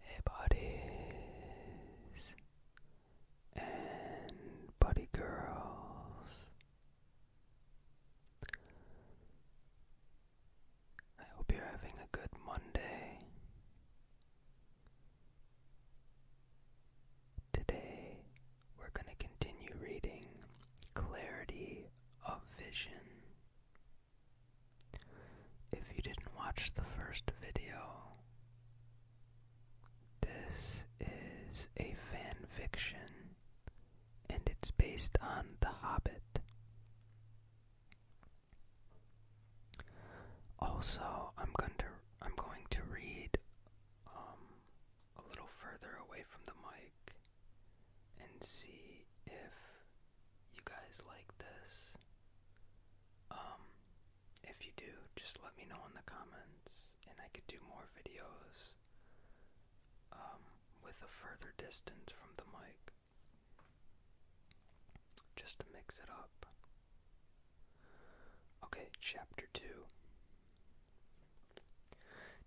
Hey buddies and buddy girls. I hope you're having a good Monday. Today we're going to continue reading Clarity of Vision if you didn't watch the first video, this is a fan fiction and it's based on The Hobbit. Also, I'm going to I'm going to read um, a little further away from the mic and see if you guys like this. Um, if you do, just let me know in the comments, and I could do more videos um, with a further distance from the mic just to mix it up. Okay, chapter 2.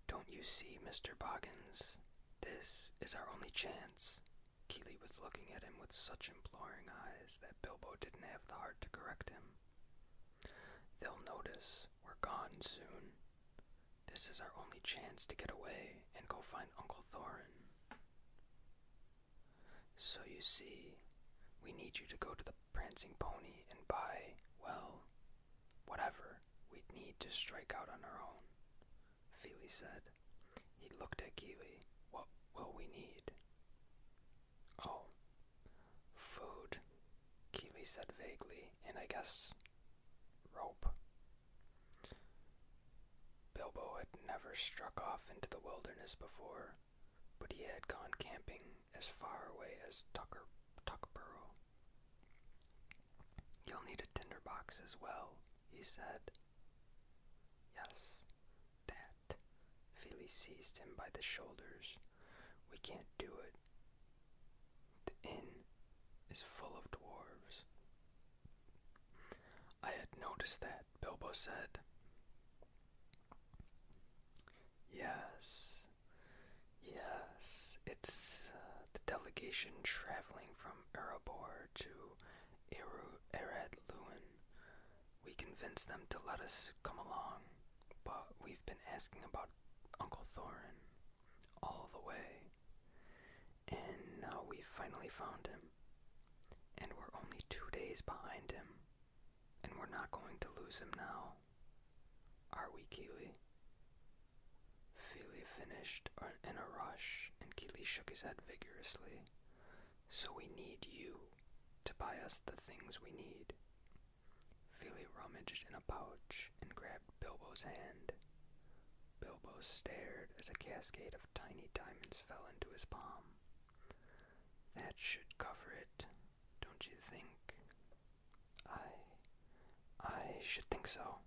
Don't you see, Mr. Boggins? This is our only chance. Keely was looking at him with such imploring eyes that Bilbo didn't have the heart to correct him. They'll notice we're gone soon. This is our only chance to get away and go find Uncle Thorin. So you see, we need you to go to the Prancing Pony and buy, well, whatever we need to strike out on our own. Feely said. He looked at Keeley. What will we need? Oh, food, Keeley said vaguely, and I guess rope. Bilbo had never struck off into the wilderness before, but he had gone camping as far away as Tucker Tuckborough. You'll need a tinderbox as well, he said. Yes, that. Philly seized him by the shoulders. We can't do it. The inn is full of dwarves. I had noticed that, Bilbo said. Yes, yes, it's uh, the delegation traveling from Erebor to Eru Ered Lewin. We convinced them to let us come along, but we've been asking about Uncle Thorin all the way. And now we've finally found him. And we're only two days behind him. And we're not going to lose him now. Are we, Keeley? Feely finished in a rush, and Keeley shook his head vigorously. So we need you to buy us the things we need. Feely rummaged in a pouch and grabbed Bilbo's hand. Bilbo stared as a cascade of tiny diamonds fell into his palm. That should cover it, don't you think? I. I should think so.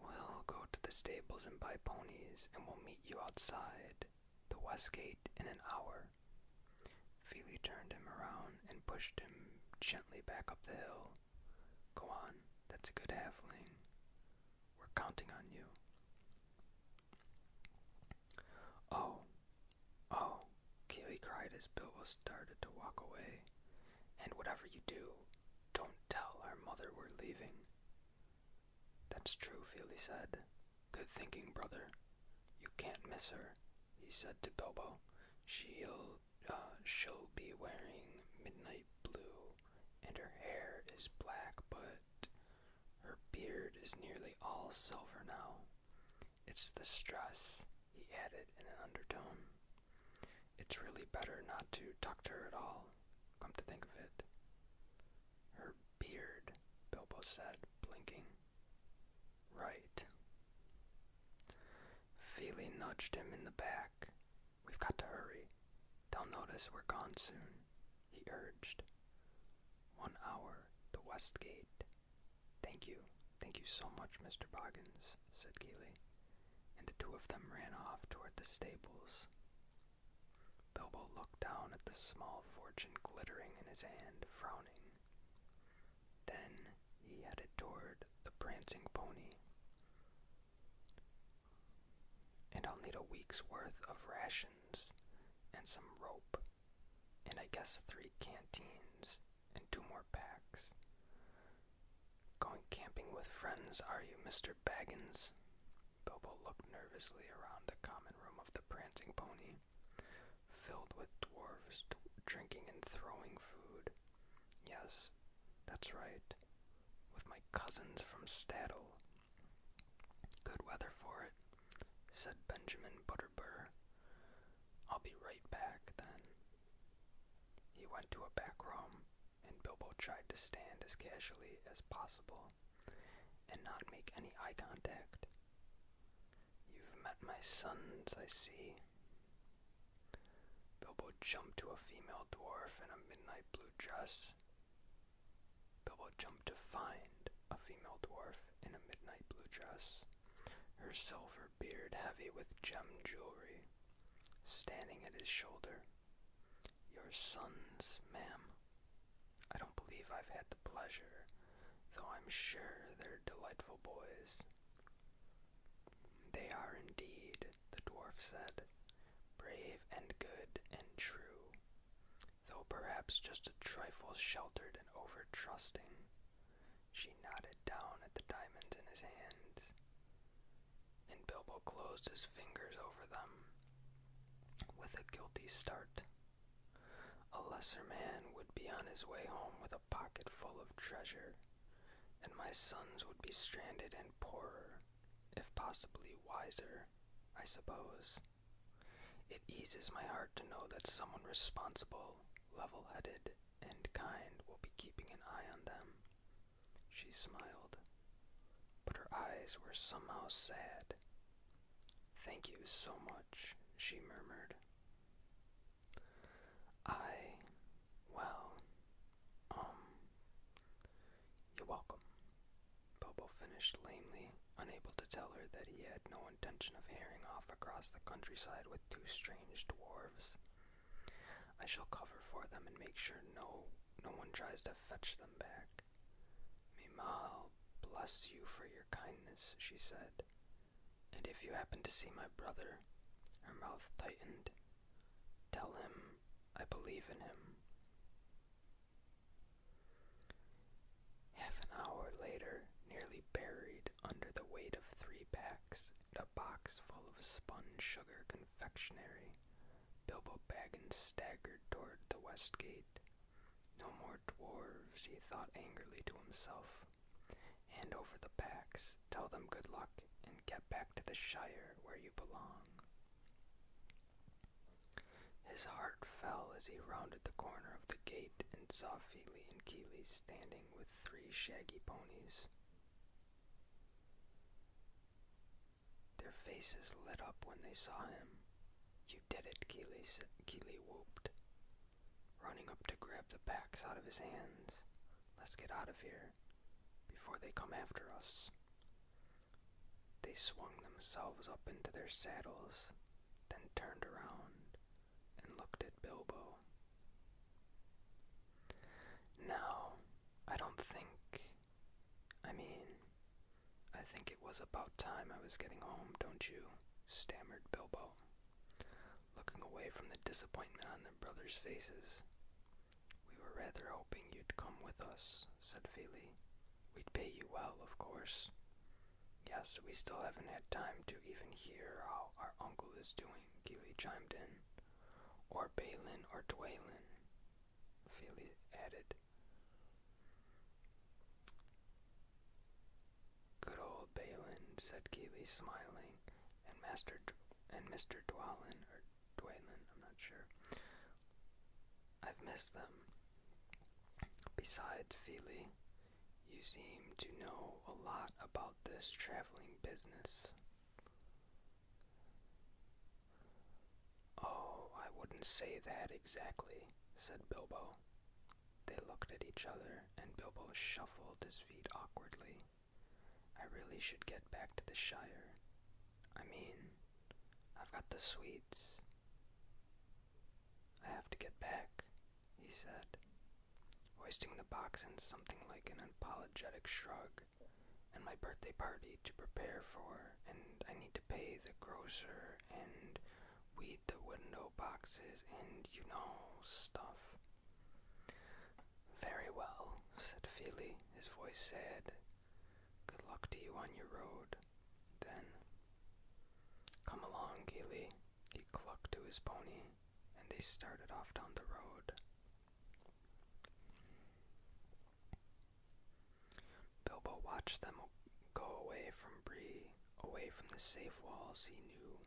We'll go to the stables and buy ponies, and we'll meet you outside the west gate in an hour. Feely turned him around and pushed him gently back up the hill. Go on, that's a good halfling. We're counting on you. Oh, oh, Keely cried as Bill was started to walk away. And whatever you do, don't tell our mother we're leaving. That's true, Feely said. Good thinking, brother. You can't miss her, he said to Bilbo. She'll, uh, she'll be wearing midnight blue, and her hair is black, but her beard is nearly all silver now. It's the stress, he added in an undertone. It's really better not to talk to her at all, come to think of it. Her beard, Bilbo said, blinking. Right. Feely nudged him in the back. We've got to hurry. They'll notice we're gone soon, he urged. One hour, the west gate. Thank you. Thank you so much, Mr. Boggins, said Keeley and the two of them ran off toward the stables. Bilbo looked down at the small fortune glittering in his hand, frowning. Then he headed toward the prancing pony. And I'll need a week's worth of rations and some rope, and I guess three canteens and two more packs. Going camping with friends, are you, Mr. Baggins? Bilbo looked nervously around the common room of the prancing pony, filled with dwarves drinking and throwing food. Yes, that's right. With my cousins from Staddle. Good weather for it, said Benjamin Butterbur. I'll be right back then. He went to a back room, and Bilbo tried to stand as casually as possible and not make any eye contact. You've met my sons, I see. Bilbo jumped to a female dwarf in a midnight blue dress. Bilbo jumped to find a female dwarf in a midnight blue dress, her silver beard heavy with gem jewelry standing at his shoulder. Your sons, ma'am. I don't believe I've had the pleasure, though I'm sure they're delightful boys. They are indeed, the dwarf said, brave and good and true, though perhaps just a trifle sheltered and over trusting. She nodded down at the diamonds in his hands and Bilbo closed his fingers over them with a guilty start. A lesser man would be on his way home with a pocket full of treasure, and my sons would be stranded and poorer, if possibly wiser, I suppose. It eases my heart to know that someone responsible, level headed, and kind will be keeping an eye on them. She smiled, but her eyes were somehow sad. Thank you so much, she murmured. I, well, um, you're welcome. Bobo finished lamely, unable to tell her that he had no intention of hearing off across the countryside with two strange dwarves. I shall cover for them and make sure no no one tries to fetch them back. May bless you for your kindness, she said. And if you happen to see my brother, her mouth tightened, tell him I believe in him. Half an hour later, nearly buried under the weight of three packs, a box full of spun sugar confectionery. Bilbo Baggins staggered toward the west gate. No more dwarves, he thought angrily to himself. Hand over the packs, tell them good luck, and get back to the Shire where you belong. His heart fell as he rounded the corner of the gate and saw Feely and Keeley standing with three shaggy ponies. Their faces lit up when they saw him. You did it, Keeley, Keeley whooped, running up to grab the packs out of his hands. Let's get out of here before they come after us. They swung themselves up into their saddles, then turned around and looked at Bilbo. No, I don't think. I mean, I think it was about time I was getting home, don't you? stammered Bilbo, looking away from the disappointment on their brothers' faces. We were rather hoping you'd come with us, said Feely. We'd pay you well, of course. Yes, we still haven't had time to even hear how our uncle is doing, Gili chimed in. Or Balin or Dwaylen, Feely added. Good old Balin, said Keeley, smiling, and Master and Mr. Dwalin or Dwaylen, I'm not sure. I've missed them. Besides, Feely, you seem to know a lot about this traveling business. Oh, I wouldn't say that exactly, said Bilbo. They looked at each other, and Bilbo shuffled his feet awkwardly. I really should get back to the Shire. I mean, I've got the sweets. I have to get back, he said hoisting the box in something like an apologetic shrug, and my birthday party to prepare for, and I need to pay the grocer and weed the window boxes and you know stuff. Very well, said Feely, his voice sad. Good luck to you on your road. Then, come along, Gilly. He clucked to his pony, and they started off down the road, Bilbo watched them go away from Bree, away from the safe walls he knew.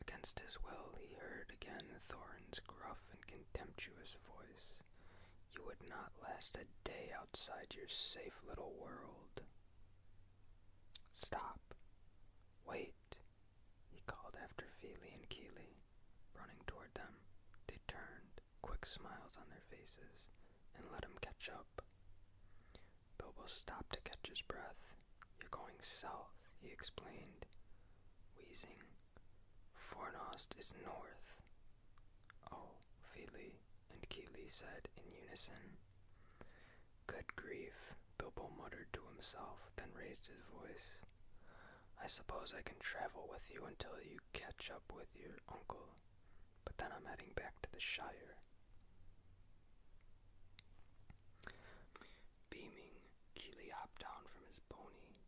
Against his will, he heard again Thorin's gruff and contemptuous voice. You would not last a day outside your safe little world. Stop. Wait. He called after Feely and Keeley, Running toward them, they turned, quick smiles on their faces, and let him catch up. Bilbo stopped to catch his breath. You're going south, he explained, wheezing. Fornost is north. Oh, Feely and Keeley said in unison. Good grief, Bilbo muttered to himself, then raised his voice. I suppose I can travel with you until you catch up with your uncle, but then I'm heading back to the Shire. Beaming, Keeley hopped down from his pony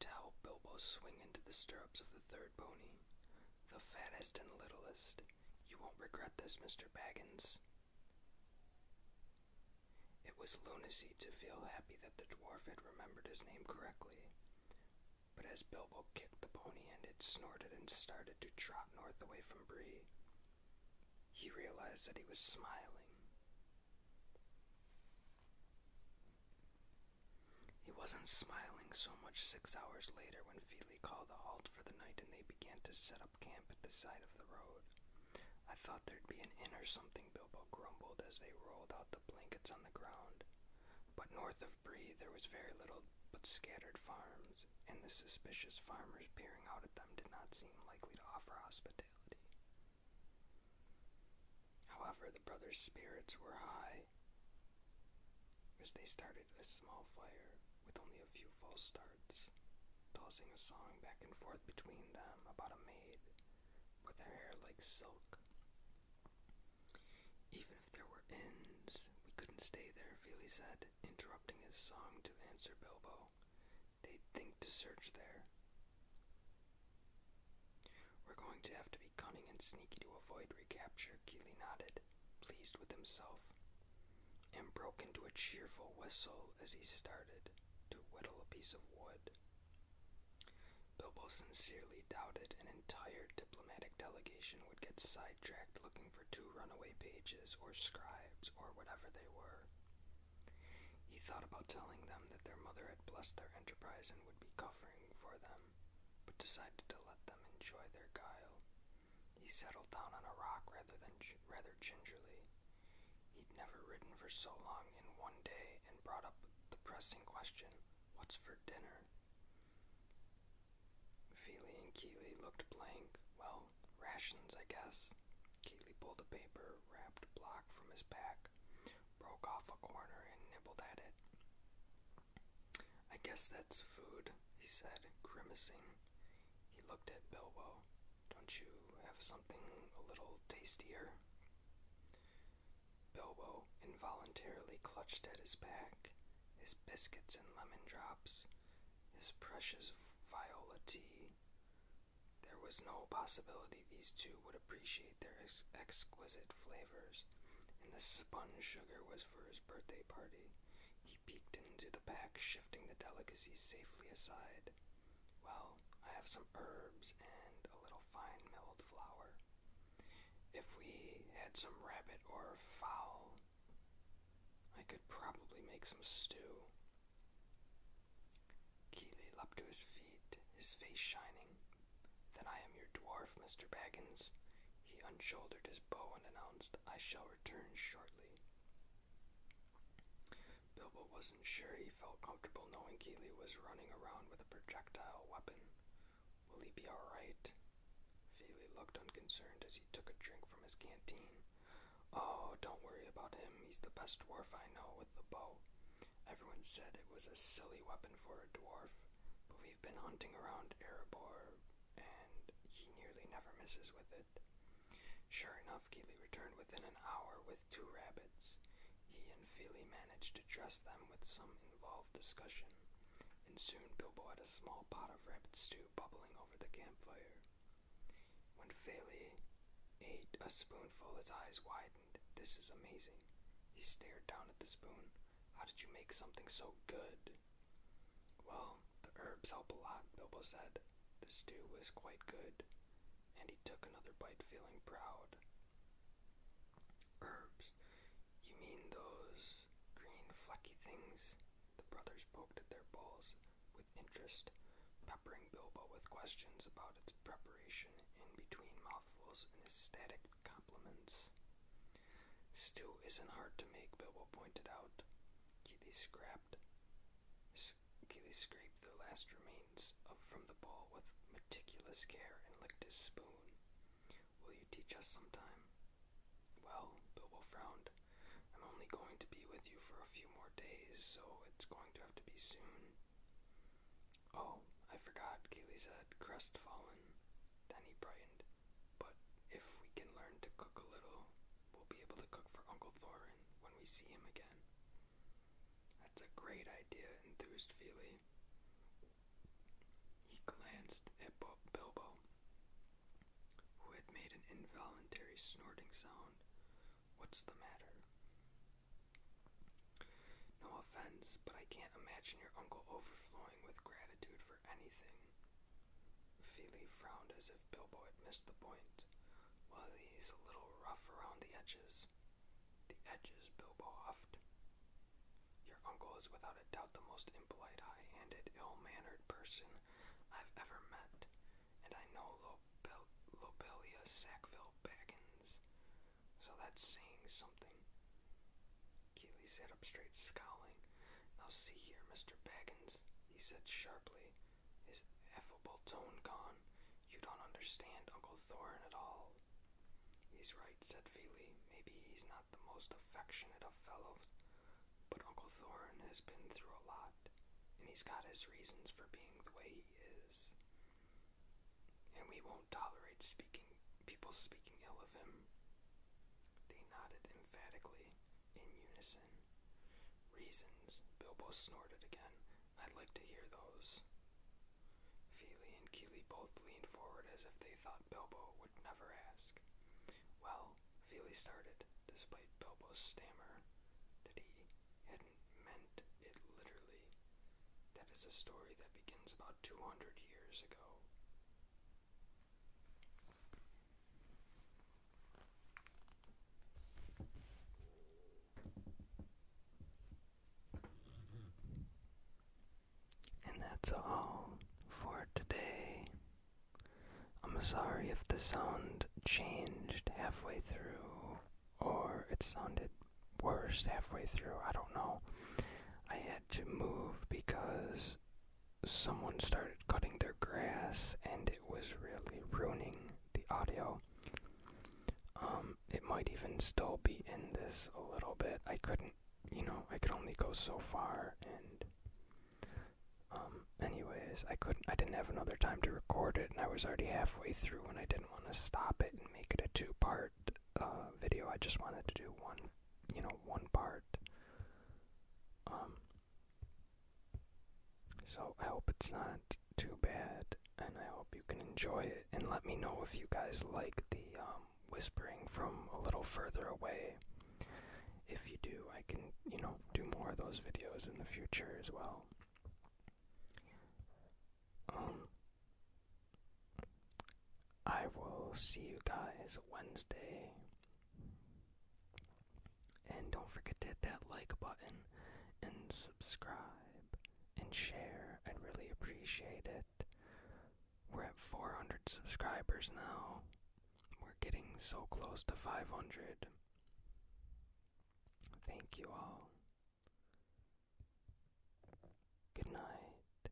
to help Bilbo swing into the stirrups of the third pony, the fattest and littlest. You won't regret this, Mr. Baggins. It was lunacy to feel happy that the dwarf had remembered his name correctly. But as Bilbo kicked the pony and it snorted and started to trot north away from Bree, he realized that he was smiling. He wasn't smiling so much six hours later when Feely called a halt for the night and they began to set up camp at the side of the road. I thought there'd be an inn or something, Bilbo grumbled as they rolled out the blankets on the ground. But north of Bree there was very little but scattered farms, and the suspicious farmers peering out at them did not seem likely to offer hospitality. However, the brothers' spirits were high as they started a small fire with only a few false starts tossing a song back and forth between them about a maid with her hair like silk. Even if there were ends, we couldn't stay there, Feely said, interrupting his song to answer Bilbo. They'd think to search there. We're going to have to be cunning and sneaky to avoid recapture, Keeley nodded, pleased with himself and broke into a cheerful whistle as he started to whittle a piece of wood. Bilbo sincerely doubted an entire diplomatic delegation would get sidetracked looking for two runaway pages or scribes or whatever they were. He thought about telling them that their mother had blessed their enterprise and would be covering for them, but decided to let them enjoy their guile. He settled down on a rock rather than rather gingerly He'd never ridden for so long in one day and brought up the pressing question What's for dinner? Feely and Keeley looked blank. Well, rations, I guess. Keeley pulled a paper wrapped block from his pack, broke off a corner, and nibbled at it. I guess that's food, he said, grimacing. He looked at Bilbo. Don't you have something a little tastier? Bilbo involuntarily clutched at his pack, his biscuits and lemon drops, his precious viola tea. There was no possibility these two would appreciate their exquisite flavors, and the sponge sugar was for his birthday party. He peeked into the pack, shifting the delicacies safely aside. Well, I have some herbs and a little fine milled flour. If we had some rabbit or fowl, I could probably make some stew. Keeley leapt to his feet, his face shining. Then I am your dwarf, Mr. Baggins. He unshouldered his bow and announced, I shall return shortly. Bilbo wasn't sure he felt comfortable knowing Keeley was running around with a projectile weapon. Will he be alright? Feely looked unconcerned as he took a drink from his canteen. Oh, don't worry about him. He's the best dwarf I know with a bow. Everyone said it was a silly weapon for a dwarf, but we've been hunting around Erebor, and he nearly never misses with it. Sure enough, Keeley returned within an hour with two rabbits. He and Feely managed to dress them with some involved discussion, and soon Bilbo had a small pot of rabbit stew bubbling over the campfire. When Feely ate a spoonful, his eyes widened. This is amazing. He stared down at the spoon. How did you make something so good? Well, the herbs help a lot, Bilbo said. The stew was quite good, and he took another bite feeling proud. Herbs, you mean those green flecky things? The brothers poked at their bowls with interest, peppering Bilbo with questions about its preparation in between mouthfuls and ecstatic compliments. Stew isn't hard to make, Bilbo pointed out. Keely scrapped. Achilles scraped the last remains up from the bowl with meticulous care and licked his spoon. Will you teach us sometime? Well, Bilbo frowned. I'm only going to be with you for a few more days, so it's going to have to be soon. Oh, I forgot, Keeley said, crestfallen. Then he brightened. But if we can learn to cook a little, We'll be able to cook for Uncle Thorin when we see him again. That's a great idea, enthused Feely. He glanced at Bilbo, who had made an involuntary snorting sound. What's the matter? No offense, but I can't imagine your uncle overflowing with gratitude for anything. Feely frowned as if Bilbo had missed the point, Well, he's a little rough around the edges. The edges, Bilbo huffed. Your uncle is without a doubt the most impolite, high handed, ill mannered person I've ever met, and I know Lobelia Sackville Baggins, so that's saying something. Keely sat up straight, scowling. Now see here, Mr. Baggins, he said sharply, his affable tone gone. You don't understand Uncle Thorn at all. He's right, said Feely. Maybe he's not the most affectionate of fellows, but Uncle Thorn has been through a lot, and he's got his reasons for being the way he is. And we won't tolerate speaking people speaking ill of him. They nodded emphatically in unison. Reasons, Bilbo snorted again. I'd like to hear those. Feely and Keeley both leaned forward as if they thought Bilbo would never ask. Well, Feely started, despite Bilbo's stammer, that he hadn't meant it literally. That is a story that begins about 200 years ago. And that's all for today. I'm sorry if the sound changed halfway through or it sounded worse halfway through. I don't know. I had to move because someone started cutting their grass and it was really ruining the audio. Um, it might even still be in this a little bit. I couldn't, you know, I could only go so far and um anyways, I couldn't I didn't have another time to record it and I was already halfway through and I didn't want to stop it and make it a two-part uh, video. I just wanted to do one, you know, one part. Um so I hope it's not too bad, and I hope you can enjoy it. And let me know if you guys like the um, whispering from a little further away. If you do, I can, you know, do more of those videos in the future as well. Um, I will see you guys Wednesday. And don't forget to hit that like button and subscribe and share. I'd really appreciate it. We're at 400 subscribers now. We're getting so close to 500. Thank you all. Good night.